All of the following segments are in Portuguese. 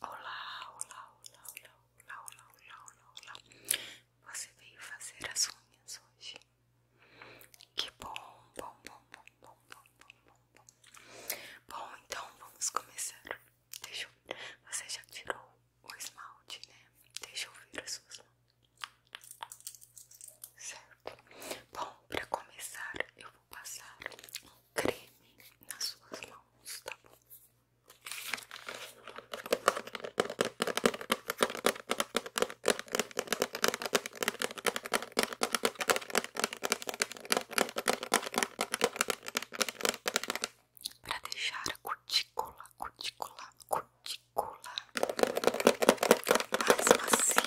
Olá, olá, olá, olá, olá, olá, olá, olá, olá. Você veio fazer as unhas hoje? Que bom, bom, bom, bom, bom, bom, bom, bom. Bom, então vamos começar. Deixa eu... Você já tirou o esmalte, né? Deixa eu ver as suas mãos. Certo. Bom, para começar, eu passar um creme nas suas mãos, tá bom? Para deixar cutícula, cutícula, cutícula mais macia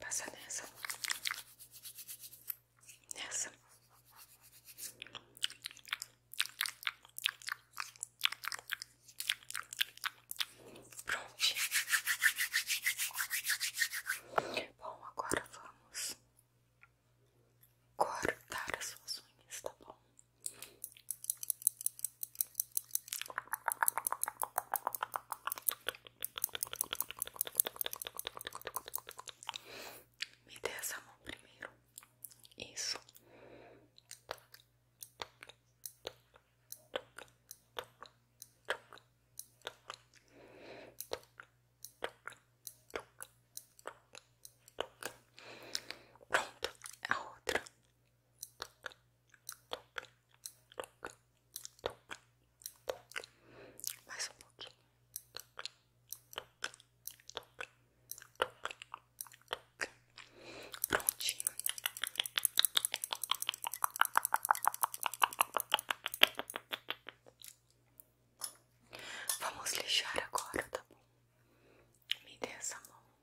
Passa nessa, nessa, pronto. Bom, agora vamos cortar as suas unhas, tá bom? Me dê essa mão primeiro. Isso. Pronto, a outra mais um pouquinho. Prontinho. Vamos lixar agora, tá bom? Me dê essa mão.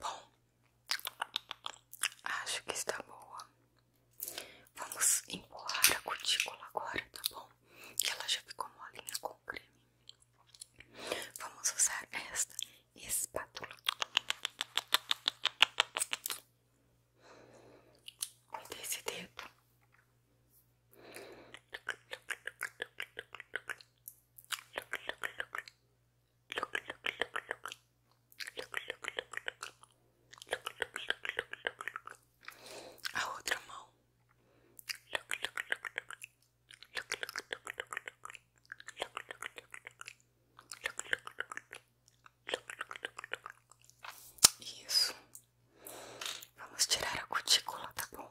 Bom, acho que está boa. Vamos empurrar a cutícula agora, tá bom? Que ela já ficou molinha com creme. Vamos usar esta espátula. Cuida esse dedo. A outra mão isso. Vamos tirar a cutícula, tá bom?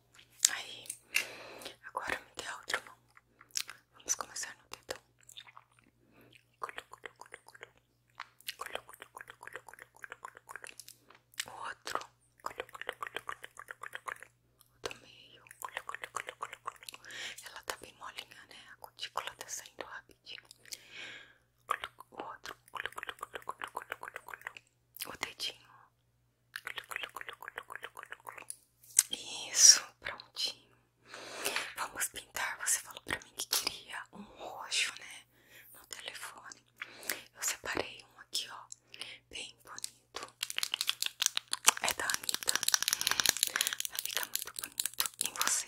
Aí, agora me dê a outra Vamos começar no dedão. O outro. O do meio. Ela tá bem molinha, né? A cutícula tá saindo rapidinho. O outro. O dedinho. Isso, prontinho. Vamos pintar. Você falou pra mim que queria um roxo, né? No telefone. Eu separei um aqui, ó. Bem bonito. É da Anitta. Vai ficar muito bonito em você.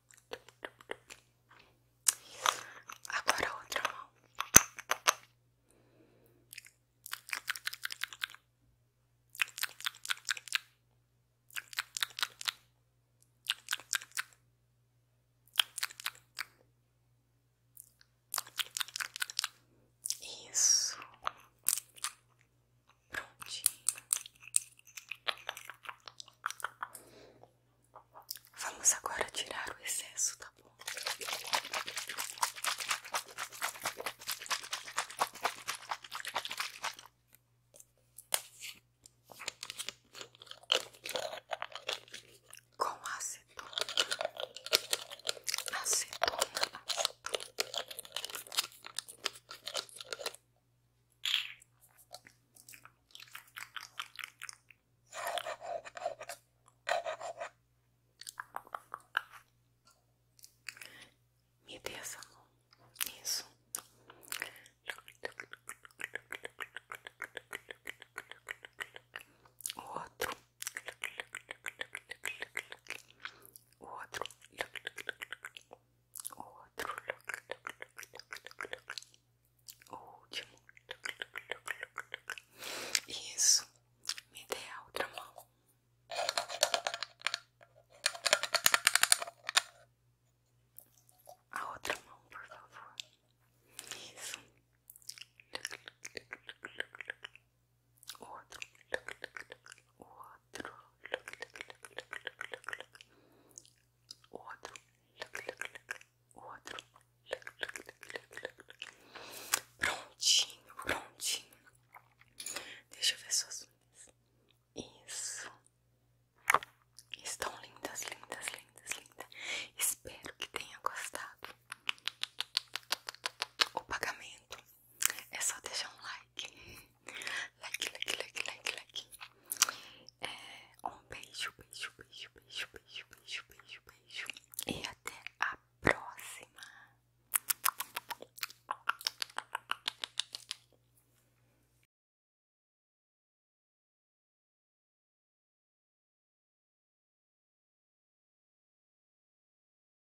Agora outra mão. Isso. Prontinho. Vamos agora tirar o excesso, tá bom? Com acetona, acetona, acetona. Me dê essa mão. Isso. O outro. O outro. Oh, look, look, look, look, look, look. Último. Look, look, a outra mão. por favor. Isso. Look, look, look, look, outro. O outro. O outro. Prontinho, prontinho. Deixa eu ver suas unhas. Isso. Estão lindas, lindas, lindas, lindas. Espero que tenha gostado. O pagamento é só deixar um like. Like, like, like, like, like. É, um beijo, beijo, beijo, beijo, beijo, beijo, beijo, beijo. E até a próxima.